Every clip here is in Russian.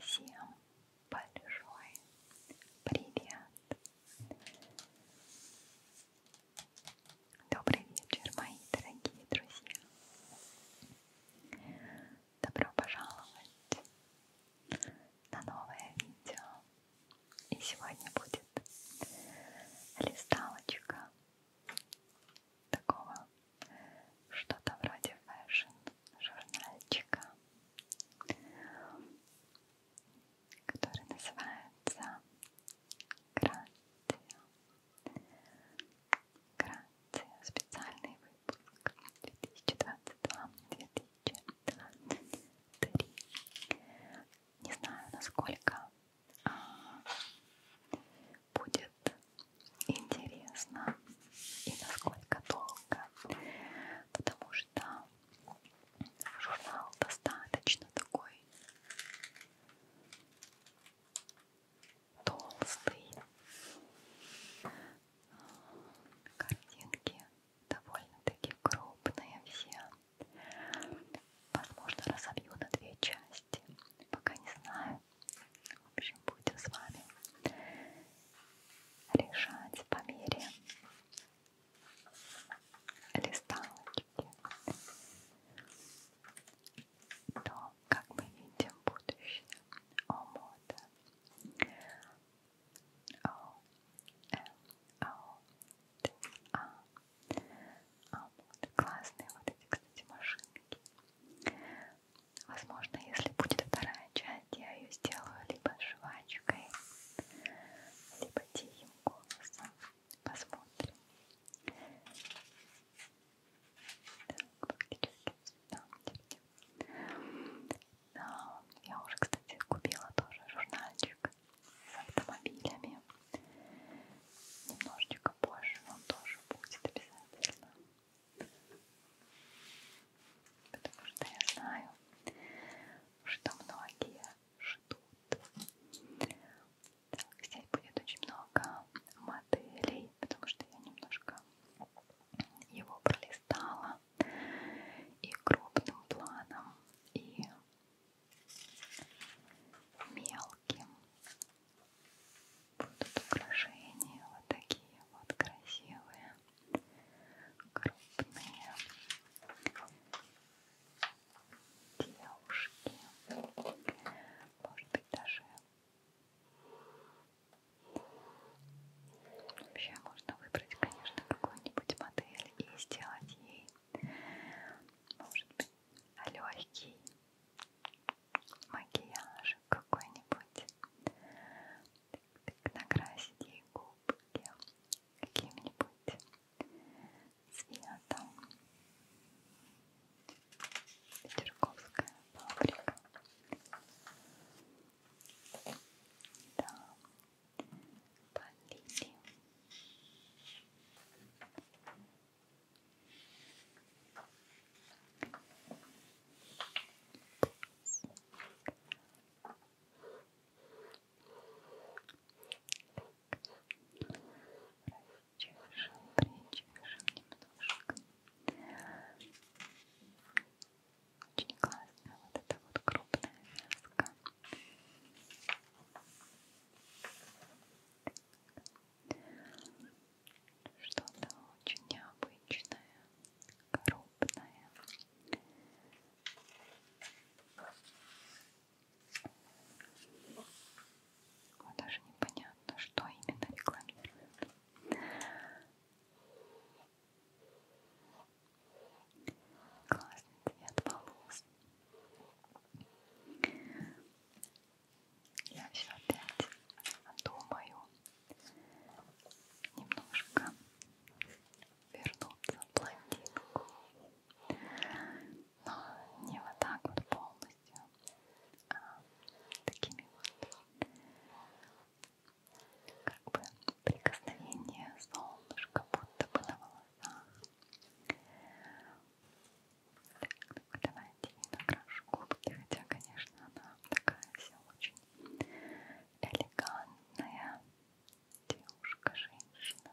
Всем большой привет! Добрый вечер, мои дорогие друзья! Добро пожаловать на новое видео и сегодня будет листалочка такого что-то вроде фэшн журнальчика, который называется Грация. Грация. Специальный выпуск 2022-2023. Не знаю, насколько а, будет интересно и насколько долго, потому что журнал достаточно такой толстый, картинки довольно-таки крупные все. Возможно, разобью на две части. Пока не знаю. В общем, будем с вами решать по мере листалочки. Но, как мы видим, будущее о мода. О, М, О, Т, А, а, вот, классные вот эти, кстати, машинки. Возможно, если будет вторая часть, я ее сделаю либо жвачкой, либо тихим голосом. Посмотрим. Так, практически да, да, я уже, кстати, купила тоже журнальчик автомобилями. Немножечко позже он тоже будет обязательно. Потому что я знаю, что многие ждут. Так, здесь будет очень много моделей, потому что я немножко его пролистала и крупным планом, и мелким. Будут украшения вот такие вот красивые, крупные девушки. Может быть даже вообще можно выбрать, конечно, какую-нибудь модель и сделать ей может быть, легкий макияж какой-нибудь. Накрасить ей губки каким-нибудь цветом. Петерговская фабрика. Да, полили. Причешем, причешем немножко. Очень классная вот эта вот крупная вязка. Что-то очень необычное, крупное. Вот даже непонятно, что именно рекламируют. Классный цвет волос. Я все опять думаю немножко вернуться в блондинку. Но не вот так вот полностью, а такими вот как бы прикосновения солнышка будто бы на волосах. Так, давайте не накрашу губки, хотя, конечно, она такая вся очень элегантная девушка, женщина.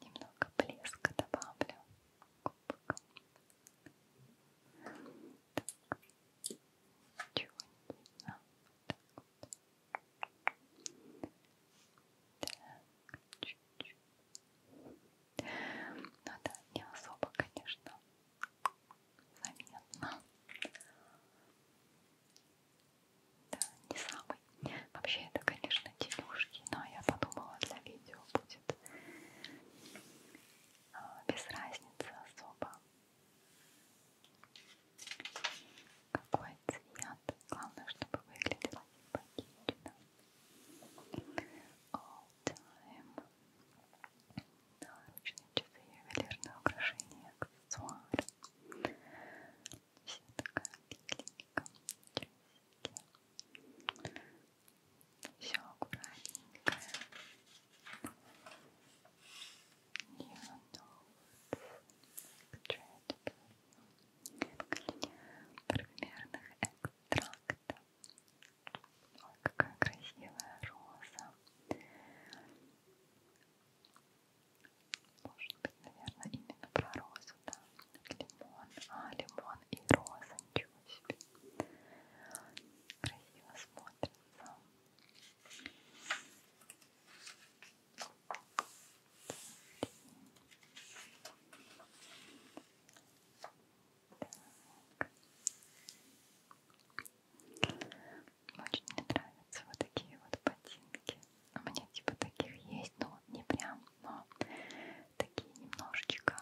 Немного блеска добавлю. Так, ничего не видно. Так, так чуть-чуть. Ну да, не особо, конечно, заметно. Да, не самый. Вообще это, конечно, тенюшки, но я подумала, для видео будет а, без разницы особо. Какой цвет? Главное, чтобы выглядело симпатично. All time. Наручные часы, ювелирные украшения, аксессуары. Все такая беленькая. Все аккуратненькое. Примерных экстрактов. Ой, какая красивая роза. Может быть, наверное, именно про розу, да. Лимон. А, лимон и роза, ничего себе. Красиво смотрится. Очень мне нравятся вот такие вот ботинки. А у меня типа таких есть, но не прям, но такие немножечко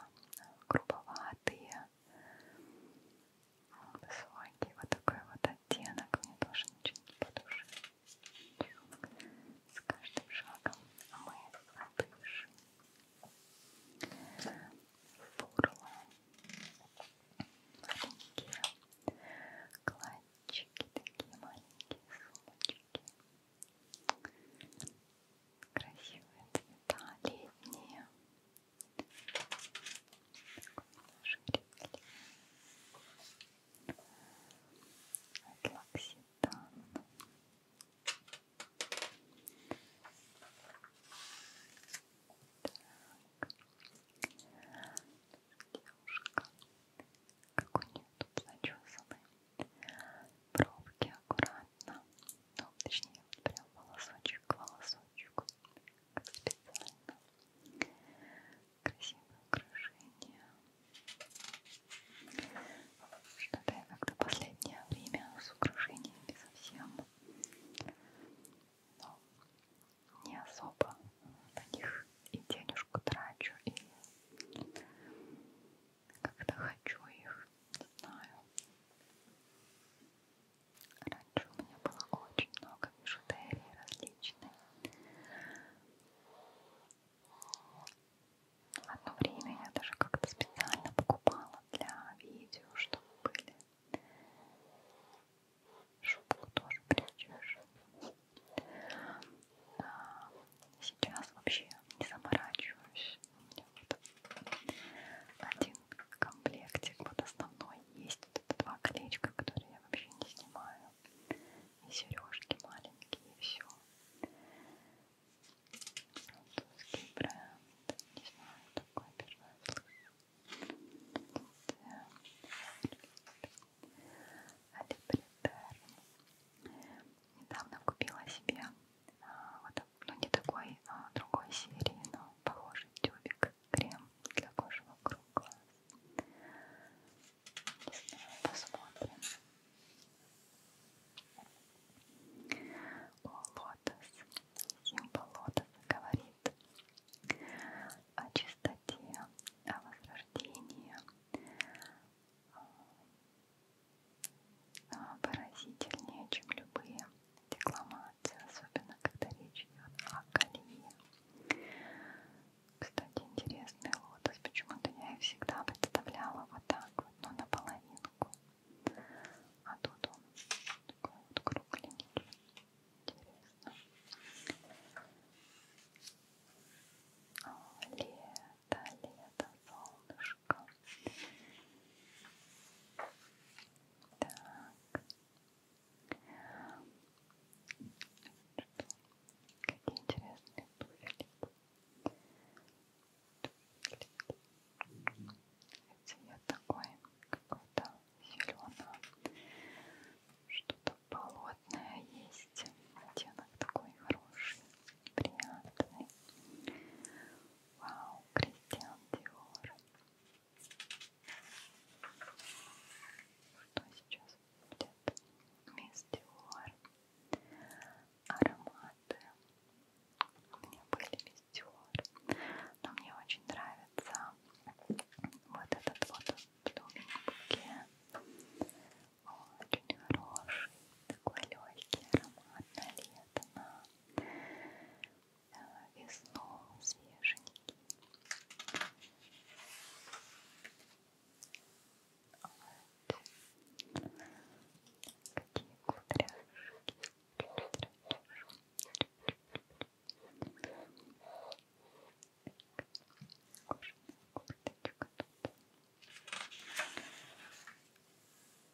грубоватые, высокий, вот такой вот оттенок мне тоже ничего не по душе. С каждым шагом мы отдышим. Фурла, маленькие кладчики, такие маленькие сумочки. Красивые цвета, летние, Девушка, как у нее тут зачесаны пробки аккуратно, ну, точнее, вот прям волосочек к волосочку как специально. Красивое украшение. Что-то я как-то последнее время с украшениями совсем но не особо на них и денежку трачу, и как-то хочу их, знаю. Раньше у меня было очень много бижутерии различной. Одно время я даже как-то специально покупала для видео, чтобы были. Шубку тоже прячешь. А, сейчас вообще не заморачиваюсь. У меня вот один комплектик под основной есть вот это два колечка, которые я вообще не снимаю. И сережки маленькие, и все. Французский бренд. Не знаю, такой первый слышу. Недавно купила себе а, вот ну не такой, а другой серии, но похожий тюбик, крем для кожи вокруг глаз. Не знаю, посмотрим. О, лотос. Символ лотоса говорит о чистоте, о возрождении, выразительнее, чем любые декламации, особенно когда речь идет о колее. Кстати, интересный лотос, почему-то я их всегда представляла вот так вот, но ну, наполовинку. А тут он такой вот кругленький. Интересно. О, лето, лето, солнышко. Так. Какие интересные туфельки. Цвет такой какой-то зеленый. Что-то болотное есть. Оттенок такой хороший, приятный. Вау, Кристиан Диор. Что сейчас будет? Мистиор. Ароматы. У меня были мистиор. Но мне очень нравится вот этот вот букет. Очень хороший, такой легкий аромат на лето, на и снова свеженький. Вот. Какие кудряшки. Кожаная курточка тут.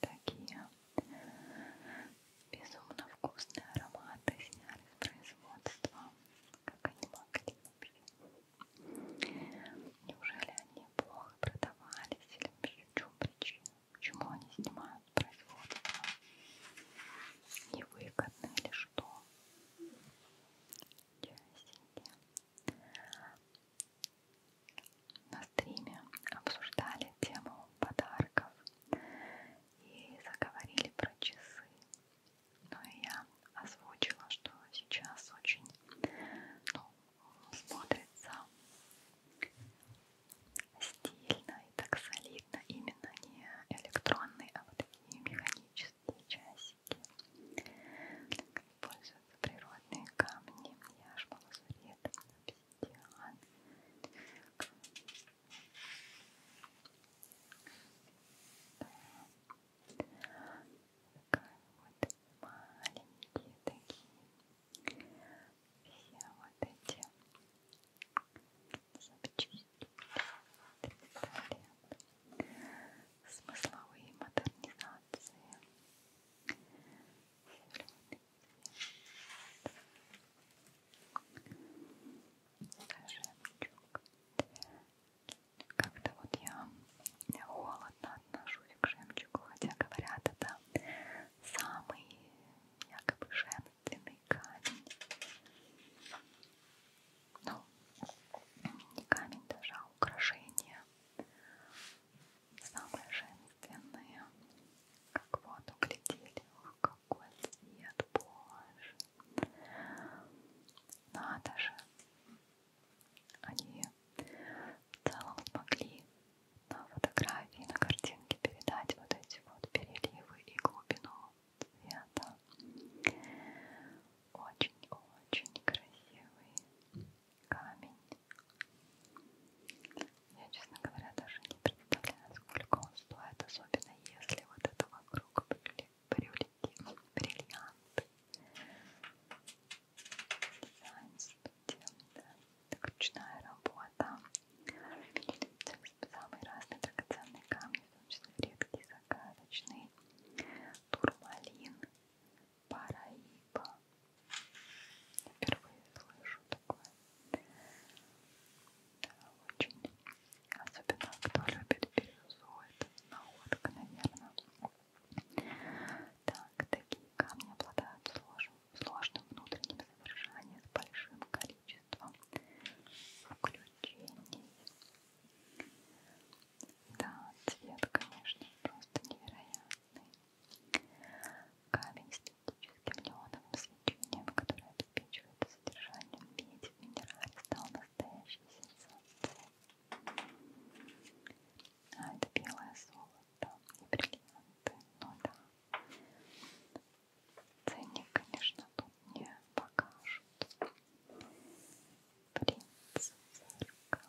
такие безумно вкусные ароматы сняли с производства, как они могли вообще. Неужели они плохо продавались или вообще в чем причина? Почему они снимают производство? Невыгодно или что? Часики на стриме обсуждали тему подарков и заговорили про часы. Ну и я озвучила, что сейчас очень ну, смотрится стильно и так солидно именно не электронные, а вот такие механические часики используются природные камни, яшма, лазурит, обсидиан. Да. Вот маленькие такие. Все вот эти запчасти. Смысловые модернизации жемчуг. Как-то вот я холодно отношусь к жемчугу, хотя говорят, это самый якобы женственный камень. Ну, не камень даже, а украшение самые женственные. Как вот углядели, ох, какой цвет, боже. Надо же. Они в целом смогли на фотографии, на картинке передать вот эти вот переливы и глубину цвета. Очень-очень красивый камень. Я, честно говоря, даже не представляю, насколько он стоит, особенно если вот это вокруг бриллианты. Дизайн студента, ручная работа. Самые разные драгоценные камни, в том числе редкие, загадочные. Турмалин, Параиба. Впервые слышу такое. Да, очень. Особенно кто любит бирюзу, это находка, наверное. Так, такие камни обладают сложным, сложным внутренним содержанием с большим количеством включений. Да, цвет, конечно, просто невероятный красный камень с теоретическим неоновым свечением, который обеспечивает содержание меди в минерале, стал настоящей сенсацией. А это белое золото и бриллианты, ну да. Ценник, конечно, тут не покажут. Принц, церковь,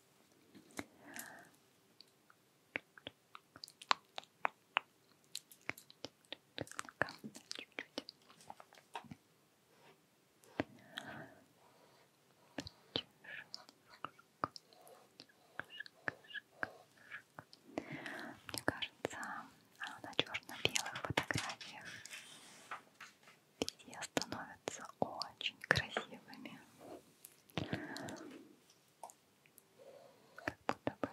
Мне кажется, а на черно-белых фотографиях все становятся очень красивыми. Как будто бы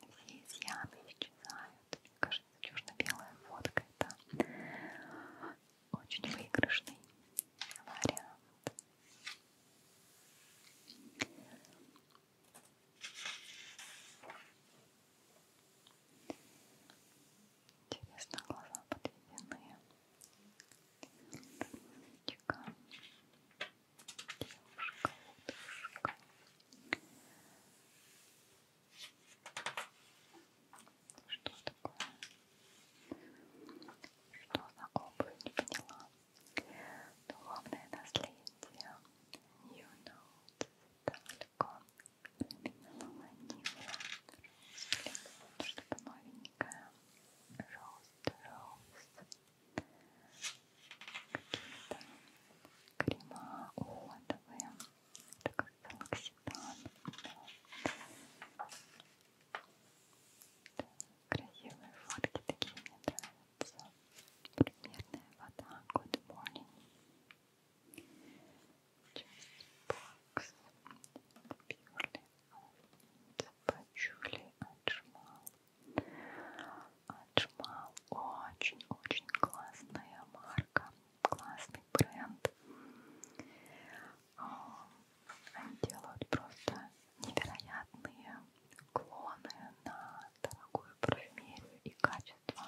все изъяны исчезают. Мне кажется, черно-белая фотка это очень выигрышный вариант. Интересно, глаза подведены. Девушка, девушка. Что такое? Что за губы? Не поняла. Духовное наследие. New Notes. Далеко. Переминала неврат, что-то новенькое. Роуст, роуст. Какие-то крема уходовые. Такой салокситан. Да. Да, красивые фотки такие мне нравятся. Примерная вода. Good morning. Чайбокс, Бьюли, Запачули, Аджмал. Аджмал очень-очень классная марка, классный бренд. Они делают просто невероятные клоны на дорогую парфюмерию и качество.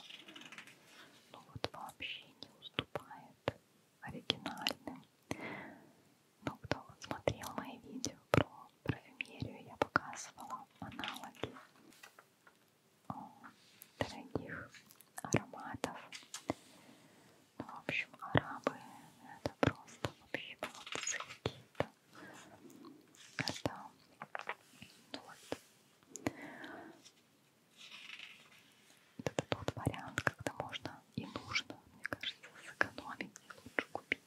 Ну вот вообще не уступает оригинальным. Но ну, кто вот смотрел мои видео про парфюмерию, я показывала аналоги о, дорогих ароматов. Ну, в общем, арабы это просто вообще молодцы какие-то. Это ну, вот. Вот это тот вариант, когда можно и нужно, мне кажется, сэкономить и лучше купить.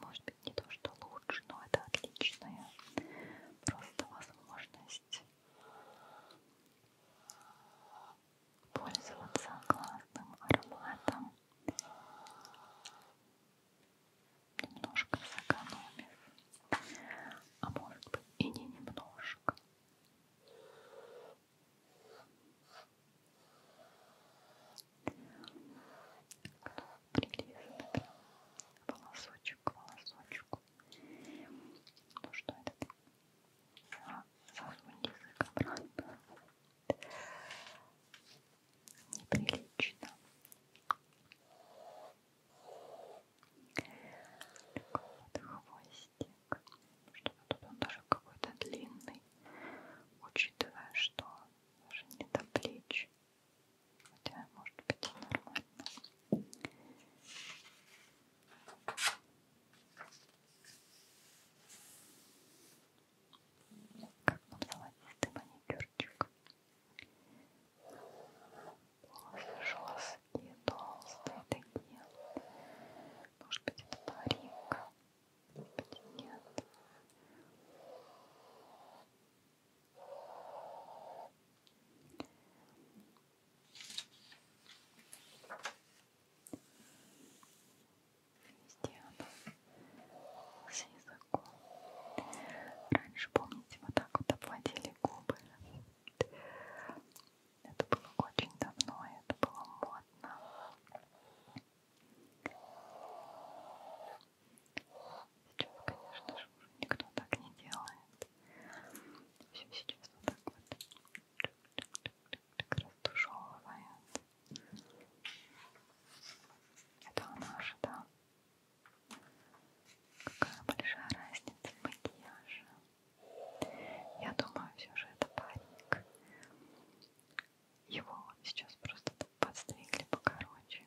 Может быть, не то, что лучше, но это отличная просто возможность пользоваться классным ароматом, немножко сэкономив, а может быть и не немножко, Прелестно прям. Волосочек к волосочку. Ну что это? А, засунь язык обратно. Неприлично. Вот хвостик. Что тут он даже какой-то длинный, учитывая, что даже не до плеч. Хотя, может быть, и нормально. Как нам золотистый маникюрчик. Волосы жесткие, толстые, да нет. Может быть это парик, может быть нет. Везде она с языком. Раньше, помните, вот так вот обводили губы. Это было очень давно, и это было модно. Сейчас, конечно же, уже никто так не делает. Все сейчас вот так вот растушевывает. Это она же, да? Какая большая разница макияжа. Я думаю, все же это парик. Его сейчас просто подстригли покороче.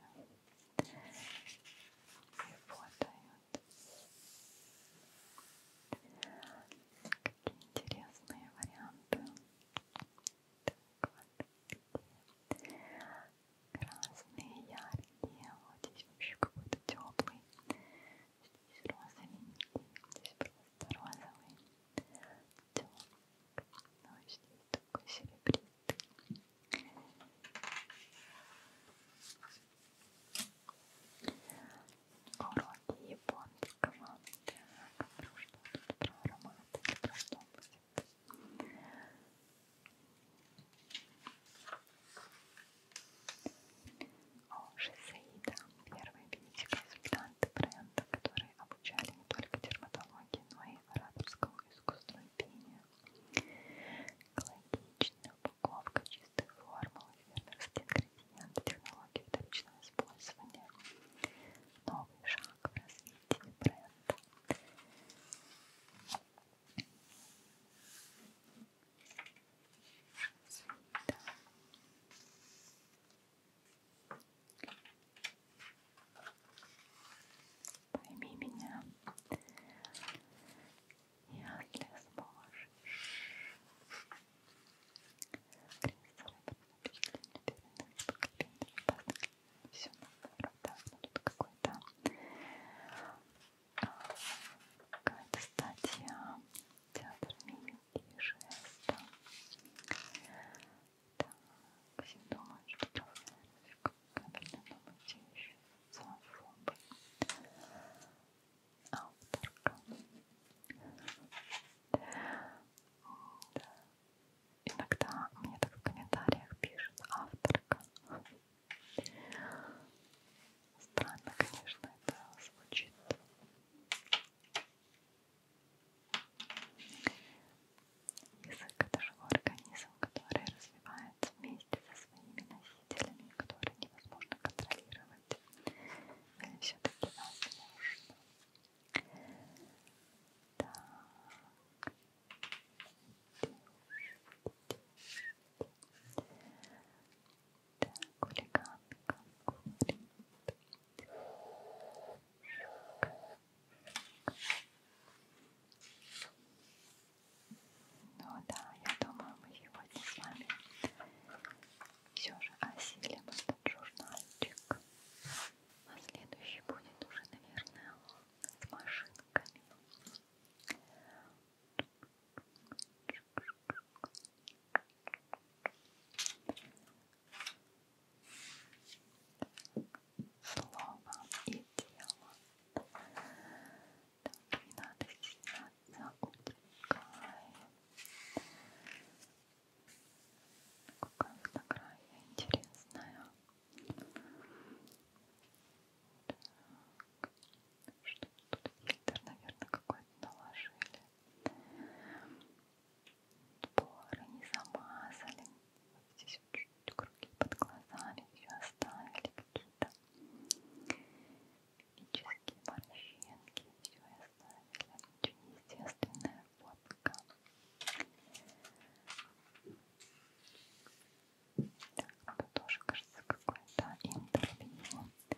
И фотают. Какие интересные варианты. Так вот. Красные, яркие. Вот здесь вообще какой-то теплый розовый, здесь розовенький, здесь просто розовый, тёмок, но здесь такой серебристый. Уроки японского. Так, ну что тут про ароматы, про что будет? Оши Саида, первые бенефиконсультанты бренда, которые обучали не только дерматологии, но и ораторскому искусству и пению. Экологичная упаковка, чистые формулы, фермерские ингредиенты, технологии вторичного использования. Новый шаг в развитии бренда сюда. Пойми меня, если сможешь. Все, да, тут какой-то какая-то статья театр мимики и жеста так, все думают, что трафик кабельный номер еще зоофобы авторка да. иногда мне так в комментариях пишет авторка Странно, конечно, это звучит. Язык — это живой организм, который развивается вместе со своими носителями, которые невозможно контролировать. Или все-таки возможно? Так. Девушки, девушки, так, хулиганка курит. Шик. Ну да, я думаю, мы сегодня с вами все же осилим этот журнальчик. А следующий будет уже, наверное, с машинками. Слово и тело. Так, не надо стесняться, утекай. Какая фотография интересная. Так что тут фильтр, наверное, какой-то наложили. Поры не замазали. Вот здесь вот чуть-чуть круги под глазами еще оставили какие-то физические морщинки. Все оставили. Очень естественная фотка. Так, тоже кажется какое-то интервью. Правда, я не знаю, кто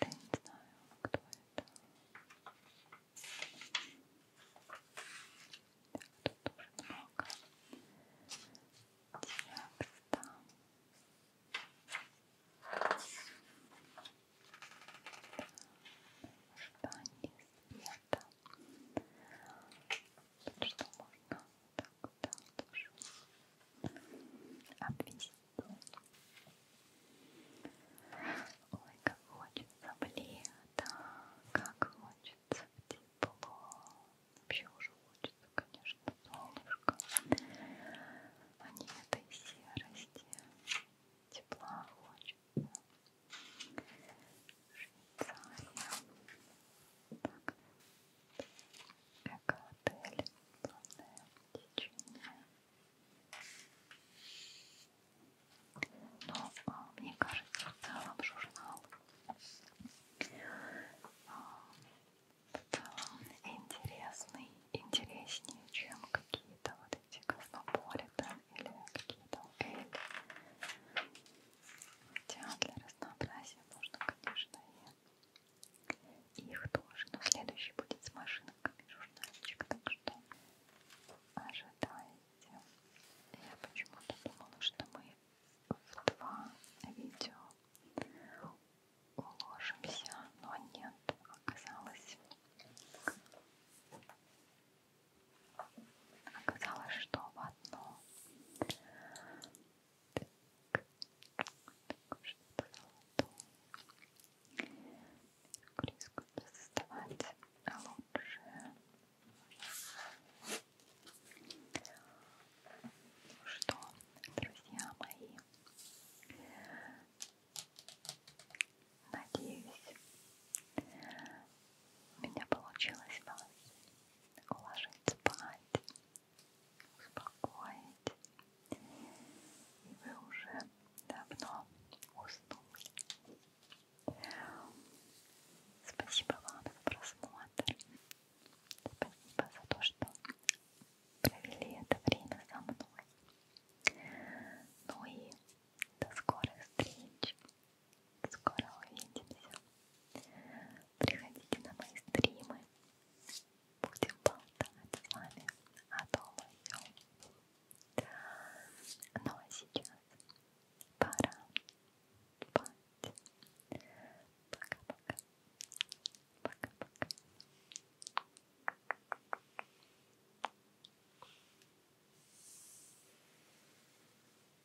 это. Так, тут тоже много текста. Ожидание света так что можно так да, тоже обвести. Ой, как хочется в лето, как хочется в тепло. Вообще уже хочется, конечно, солнышко. А не этой серости. Тепла хочется. Швейцария. Эко-отель. Плавное течение. Но мне кажется, в целом журнал в целом интересный, интереснее, чем какие-то вот эти космополитен или какие-то эль. Хотя для разнообразия можно, конечно, и их тоже. Но следующий будет с машинками журнальчик, так что ожидайте. Я почему-то думала, что мы в два видео уложимся, но нет, оказалось оказалось, что в одно так, так, что-то золотое Меркурийскую создавать лучше ну что, друзья мои, надеюсь, у меня получилось вас уложить спать, успокоить. И вы уже давно уснули. Спасибо вам за просмотр. Спасибо за то, что провели это время со мной. Ну и до скорых встреч Скоро увидимся. Приходите на мои стримы. Будем болтать с вами о том о сём. Ну а сейчас пора спать. Пока-пока. Пока-пока.